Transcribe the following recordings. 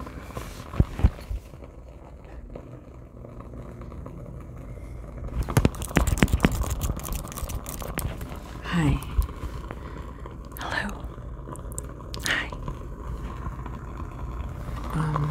Hi. Hello. Hi. Um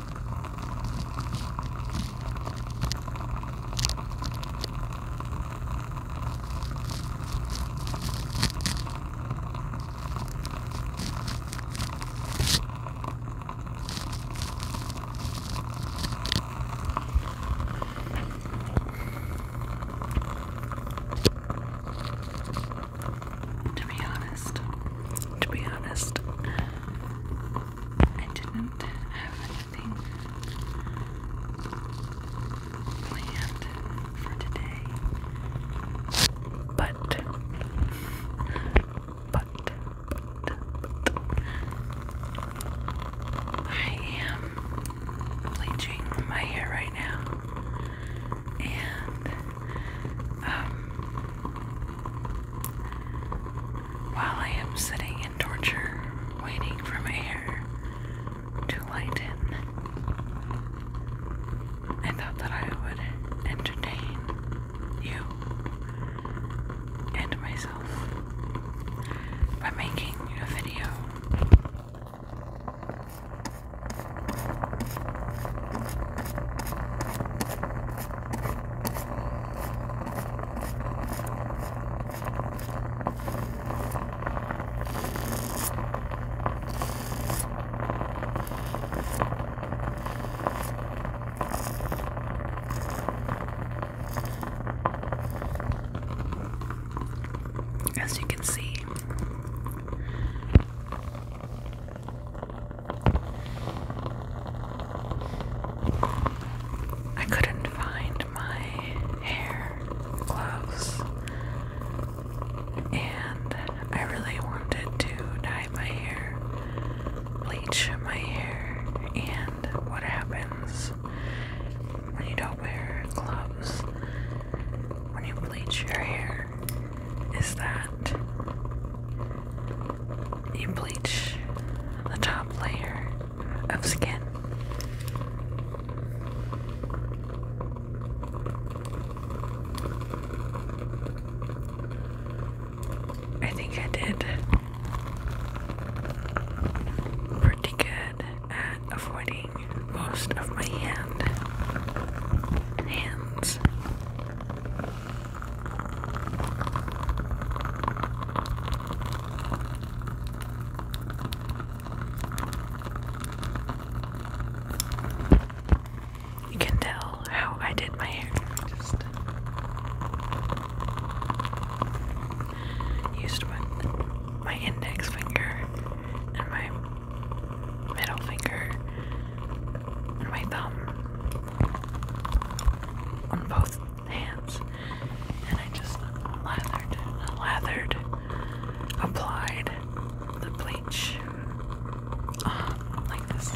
To be honest, to be honest, I didn't have anything planned for today. But, but, but, I am bleaching my hair right now. And, um, while I am sitting in torture, waiting for my hair to lighten, I thought that I would entertain you and myself by making a video. As you can see, I couldn't find my hair gloves, and I really wanted to dye my hair, bleach my hair, and what happens when you don't wear gloves when you bleach your hair is that you bleach the top layer of skin. I think I did pretty good at avoiding most of my hand hands. You can tell how I did my hair. Just used my, my index finger and my middle finger and my thumb on both hands, and I just lathered, lathered, applied the bleach um, like this.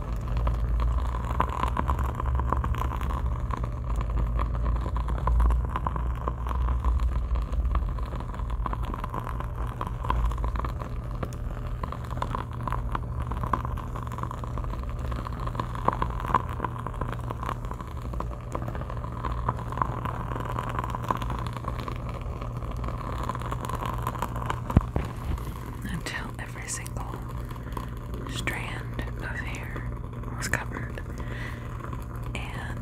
Until every single strand of hair was covered. And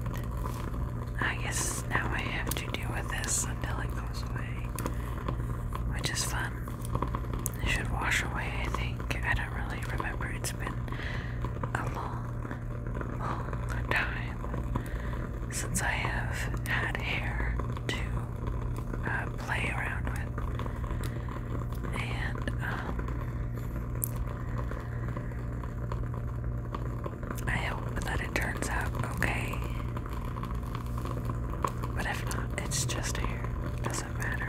I guess now I have to deal with this until it goes away, which is fun. It should wash away, I think. I don't really remember. It's been a long, long time since I have had hair to uh, play around with and um, I hope that it turns out okay. But if not, it's just here. Doesn't matter.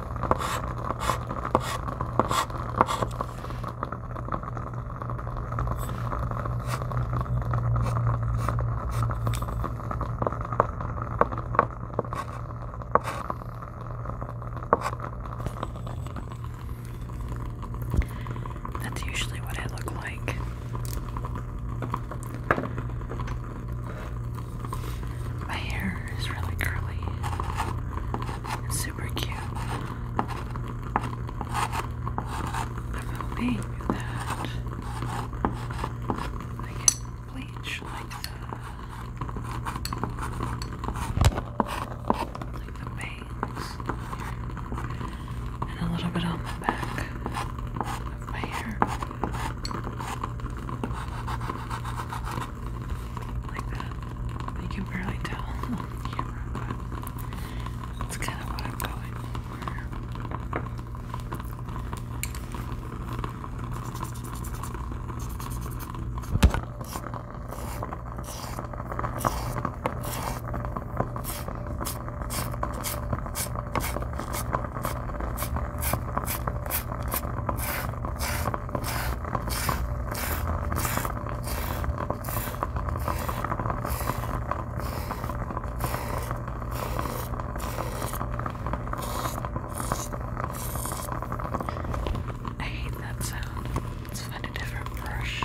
That's usually what I look like. My hair is really curly. It's super cute. I'm hoping that I can bleach like the like the bangs and a little bit on the back of my hair like that. You can barely tell on camera, but that's kind of what I'm going for. I hate that sound. Let's find a different brush.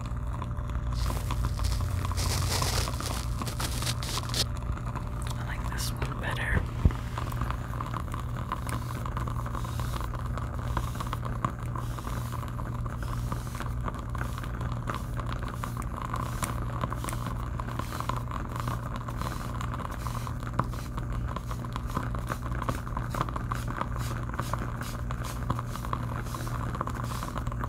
I like this one better.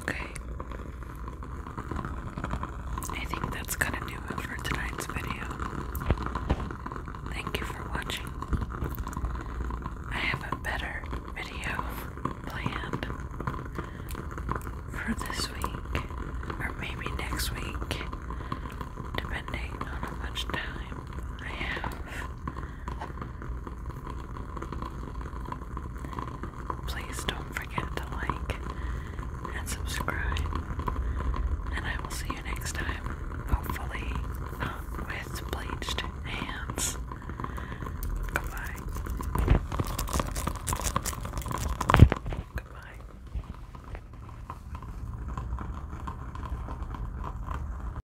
Okay. I think that's gonna do it for tonight's video. Thank you for watching. I have a better video planned for this week, or maybe next week, depending on how much time I have. Please don't forget to like and subscribe, and I will see you next time. Hopefully, um, with bleached hands. Goodbye. Goodbye.